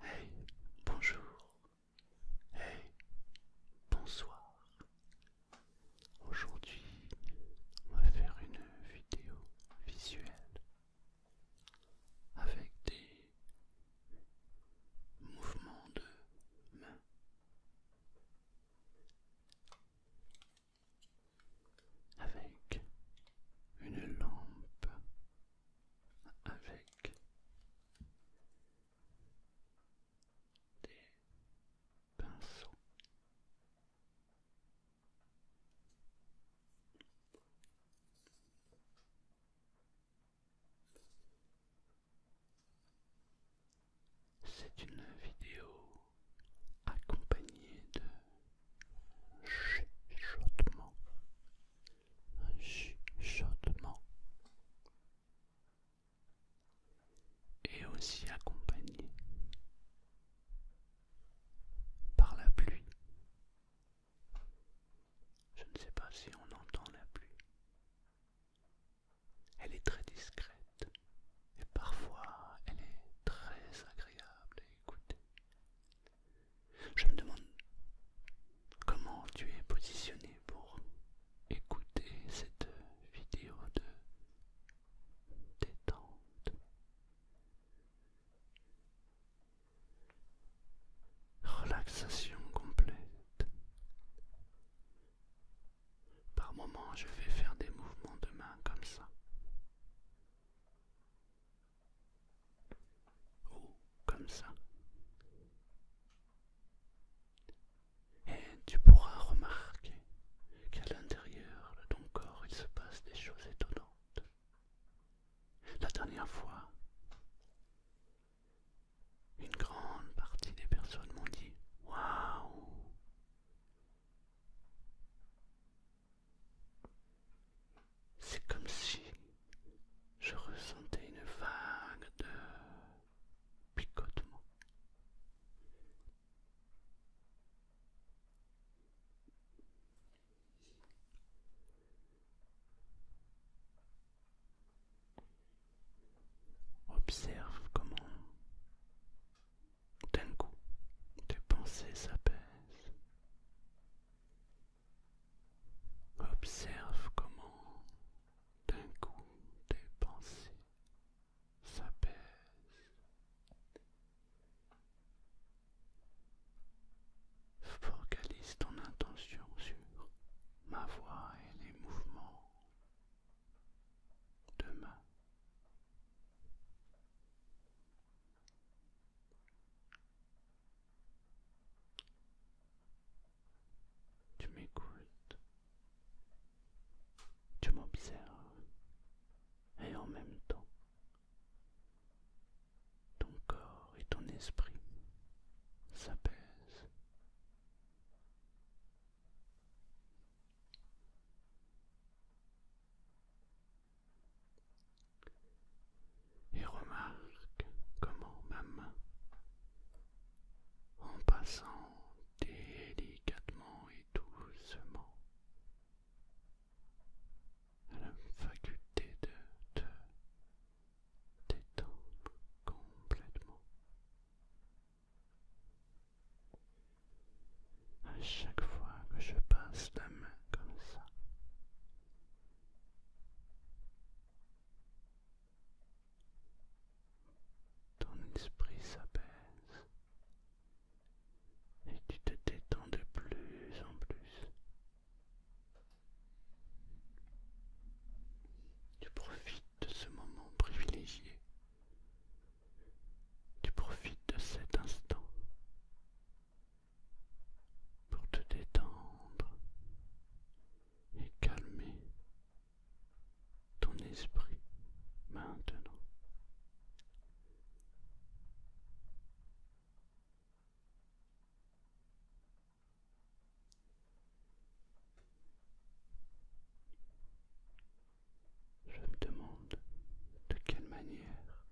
Hey, bonjour. Hey, bonsoir. Aujourd'hui, on va faire une vidéo visuelle avec des mouvements de mains avec une lampe avec des pinceaux c'est une vidéo accompagnée de chuchotements, un chuchotement, et aussi accompagnée par la pluie. Je ne sais pas si on entend la pluie. Elle est très discrète et parfois elle est très agréable à écouter. Je me demande comment tu es positionné pour écouter cette vidéo de détente. Relaxation complète. Par moments, je vais faire des mouvements de main comme ça. Ou comme ça. Et tu pourras remarquer qu'à l'intérieur de ton corps, il se passe des choses étonnantes. La dernière fois, une grande partie des personnes m'ont dit Waouh C'est comme si je ressentais une vague de picotement. Observe comment d'un coup tes pensées s'apaisent. Observe comment d'un coup tes pensées s'apaisent. Focalise ton intention sur ma voix et les mouvements de main. Tu m'écoutes, tu m'observes et en même temps ton corps et ton esprit s'apaisent et remarque comment ma main, en passant délicatement et doucement, a la faculté de te détendre complètement. À chaque fois que je passe la main comme ça, ton esprit s'apaise et tu te détends de plus en plus. Tu profites de ce moment privilégié. Tu profites de cet instant pour te détendre et calmer ton esprit maintenant. Je me demande de quelle manière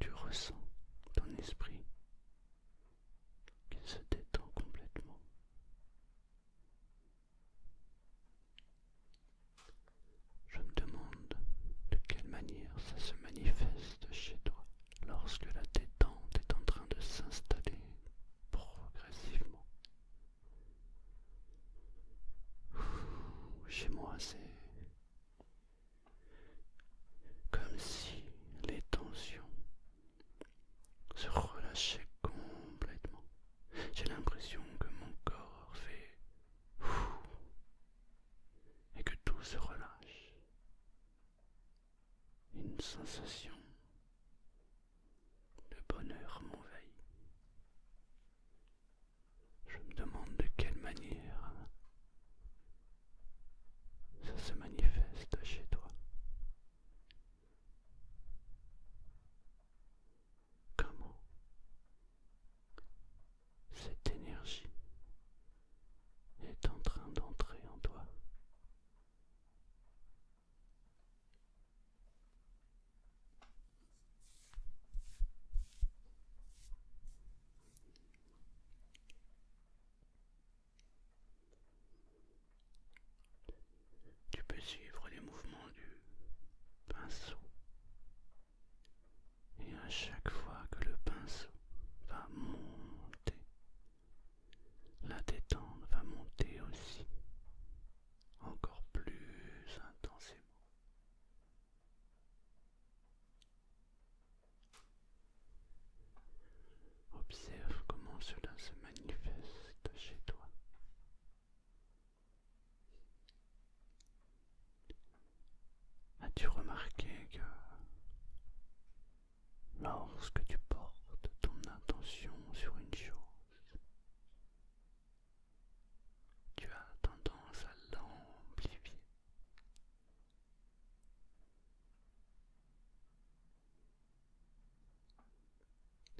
tu ressens ton esprit qu'il se détend complètement. Je me demande de quelle manière ça se manifeste chez toi lorsque la détente est en train de s'installer progressivement. Chez moi, c'est comme si les tensions se relâchaient complètement. J'ai l'impression que mon corps fait et que tout se relâche. Une sensation de bonheur m'envahit. Je me demande de quelle manière ça se manifeste chez toi. Comment cette énergie est en train d'entrer en toi. Tu peux suivre les mouvements du pinceau et à chaque fois que le pinceau va monter, la détente va monter aussi, encore plus intensément. Observe comment cela se manifeste chez toi. As-tu remarqué que lorsque tu portes ton attention sur une chose, tu as tendance à l'amplifier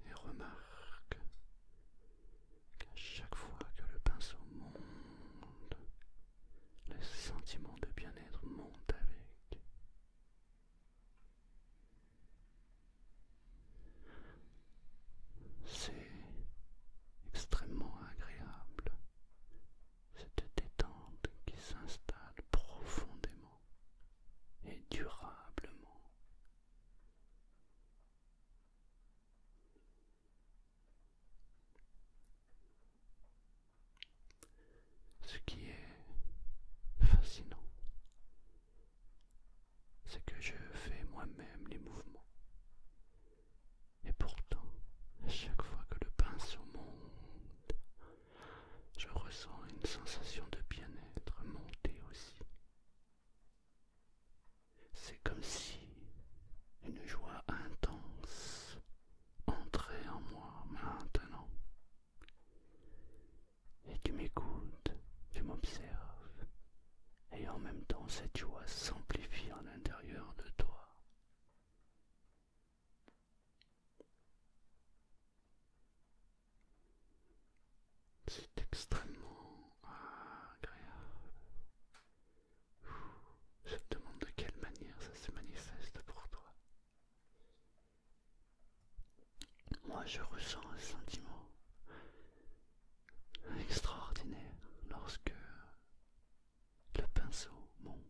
et remarque qu'à chaque fois que le pinceau monte le sentiment de bien-être monte avec. C'est extrêmement agréable, cette détente qui s'installe profondément et durablement. Ce qui est fascinant, c'est que je fais moi-même les mouvements. Et pourtant, à chaque fois que le pinceau monte, je ressens une sensation de bien-être monter aussi. C'est comme si une joie intense entrer en moi maintenant et tu m'écoutes, tu m'observes et en même temps cette joie s'amplifie à l'intérieur de toi. C'est extrêmement agréable je te demande de quelle manière ça se manifeste pour toi. Moi, je ressens un sentiment extraordinaire lorsque le pinceau monte.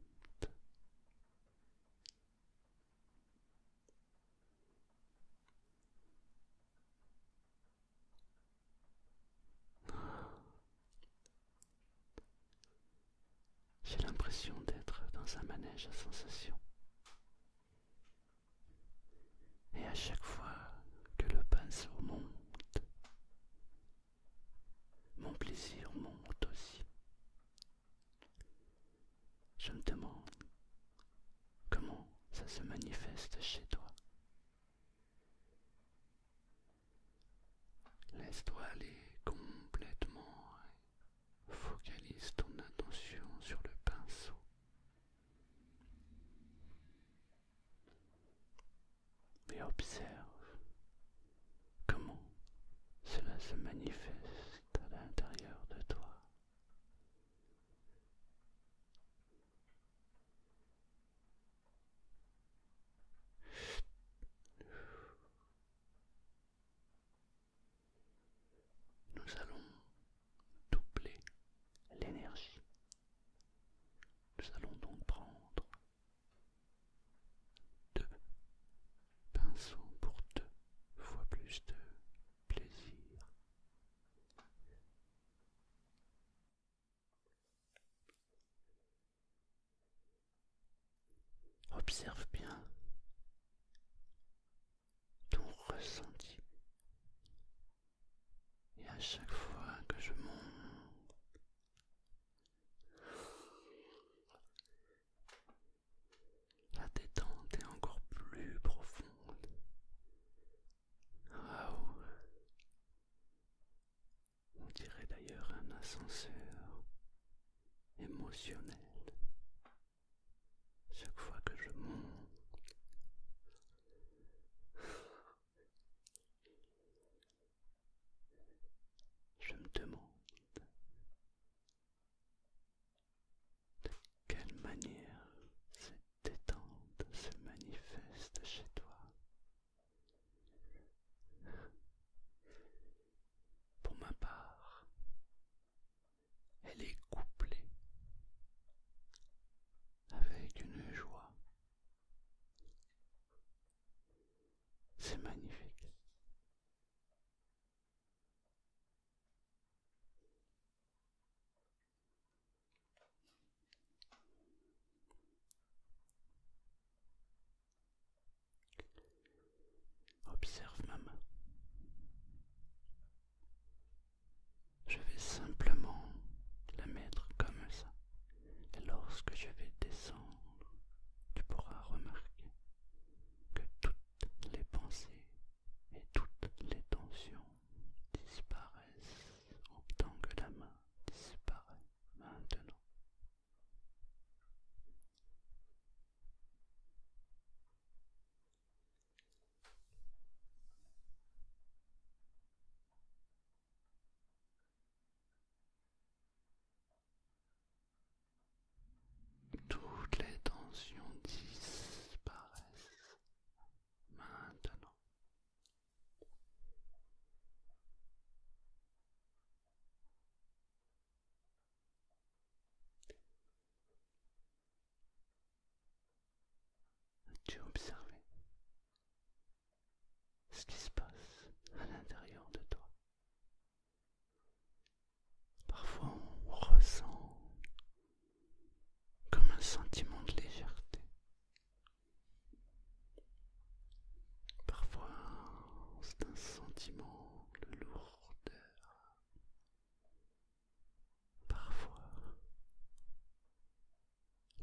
J'ai l'impression d'être dans un manège à sensations. Et à chaque fois que le pinceau monte, mon plaisir monte aussi. Je me demande comment ça se manifeste chez toi. Laisse-toi aller complètement focalise ton attention sur le pinceau. Et observe comment cela se manifeste à l'intérieur de toi. Nous allons doubler l'énergie. Nous allons donc prendre deux pinceaux pour deux fois plus de plaisir. Observe bien ton ressenti. Et à chaque fois que je monte, la détente est encore plus profonde on dirait d'ailleurs un ascenseur émotionnel. Chaque fois que je monte, je me demande de quelle manière cette détente se manifeste chez toi. Pour ma part, elle est couplée avec une joie. C'est magnifique. Observe ma main. Je vais simplement la mettre comme ça. Et lorsque je vais descendre, tu pourras remarquer que toutes les pensées et toutes les tensions disparaissent en tant que la main disparaît maintenant. Toutes les tensions disparaissent maintenant. As-tu observé ce qui se passe à l'intérieur de toi Parfois on ressent comme un sentiment de légèreté, Parfois, c'est un sentiment de lourdeur. Parfois,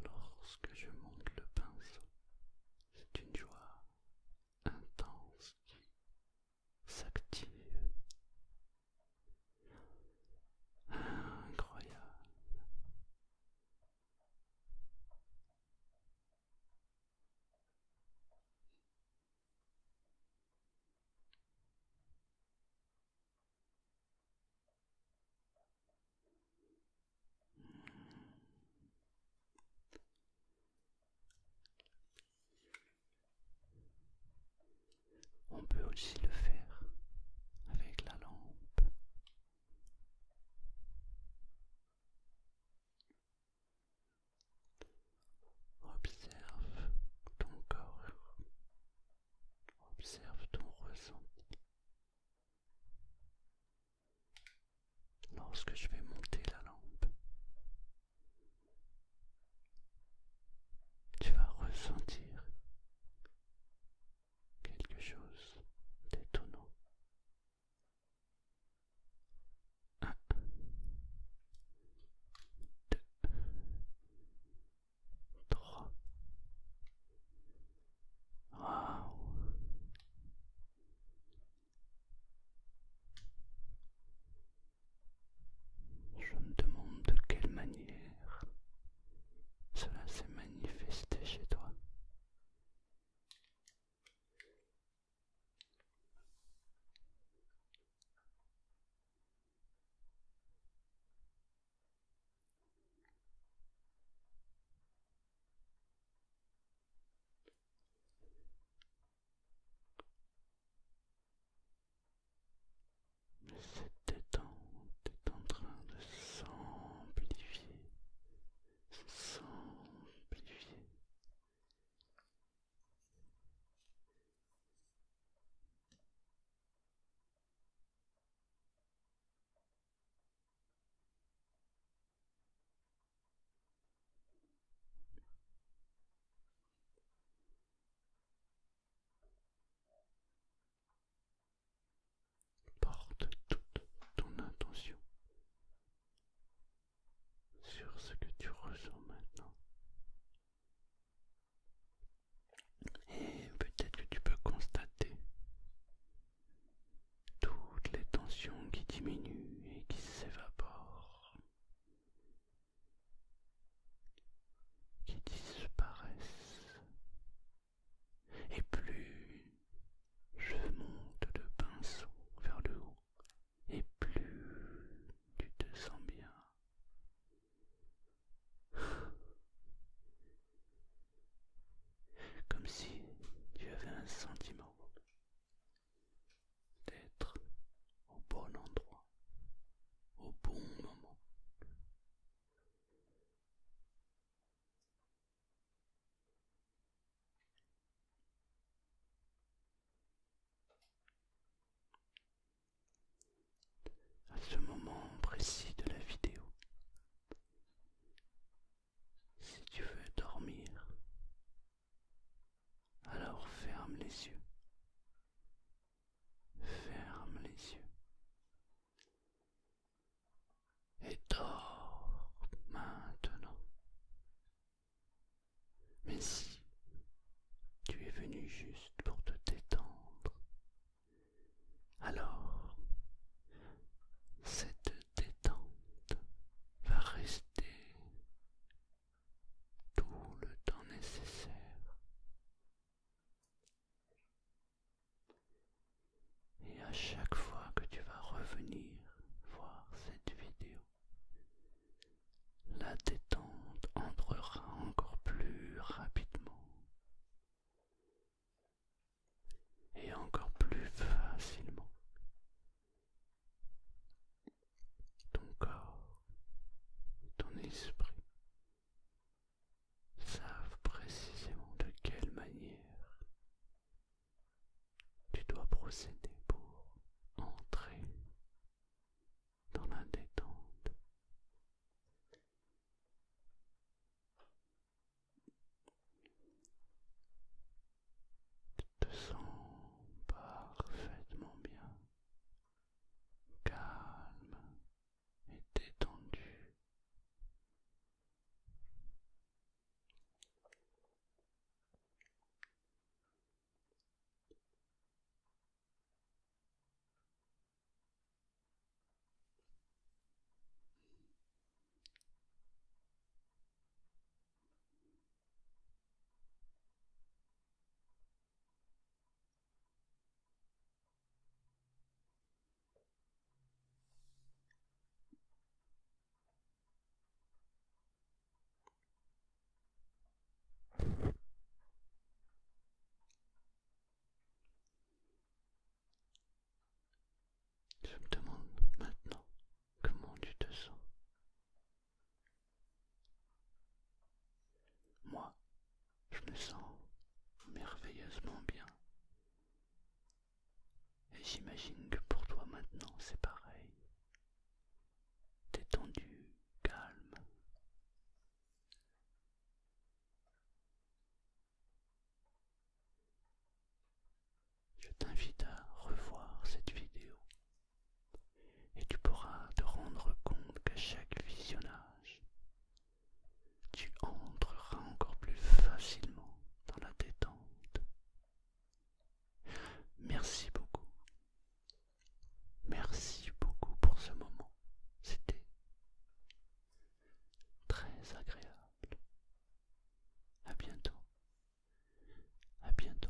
lorsque je monte le pinceau, c'est une joie intense qui s'active. Incroyable. On peut aussi le faire avec la lampe Observe ton corps, observe ton ressenti. Lorsque je vais monter la lampe, tu vas ressentir quelque chose d'étonnant. Je me demande de quelle manière cela s'est manifesté chez toi. Cette détente est en train de s'amplifier, s'amplifier. Porte toute ton attention sur ce que tu ressens maintenant. Et peut-être que tu peux constater toutes les tensions qui diminuent et qui s'évaporent, qui disparaissent et plus je monte de pinceau vers le haut, et plus tu te sens bien. Comme si tu avais un sentiment d'être au bon endroit, au bon moment à ce moment précis de la vidéo. Si tu veux dormir, alors ferme les yeux. Ferme les yeux et dors maintenant. Mais si tu es venu juste pour te détendre, alors cette détente va rester tout le temps nécessaire. Et à chaque fois que tu vas revenir voir cette vidéo, la détente entrera encore plus rapidement et encore plus facilement. Ton corps, ton esprit savent précisément de quelle manière tu dois procéder pour entrer dans la détente. Tu te sens parfaitement bien, calme et détendu. Je me demande maintenant comment tu te sens. Moi, je me sens merveilleusement bien. Et j'imagine que pour toi maintenant c'est pareil. Détendu, calme. Je t'invite à revoir cette vidéo et tu pourras te rendre compte qu'à chaque visionnage, tu entreras encore plus facilement dans la détente. Merci beaucoup. Merci beaucoup pour ce moment. C'était très agréable. À bientôt. À bientôt.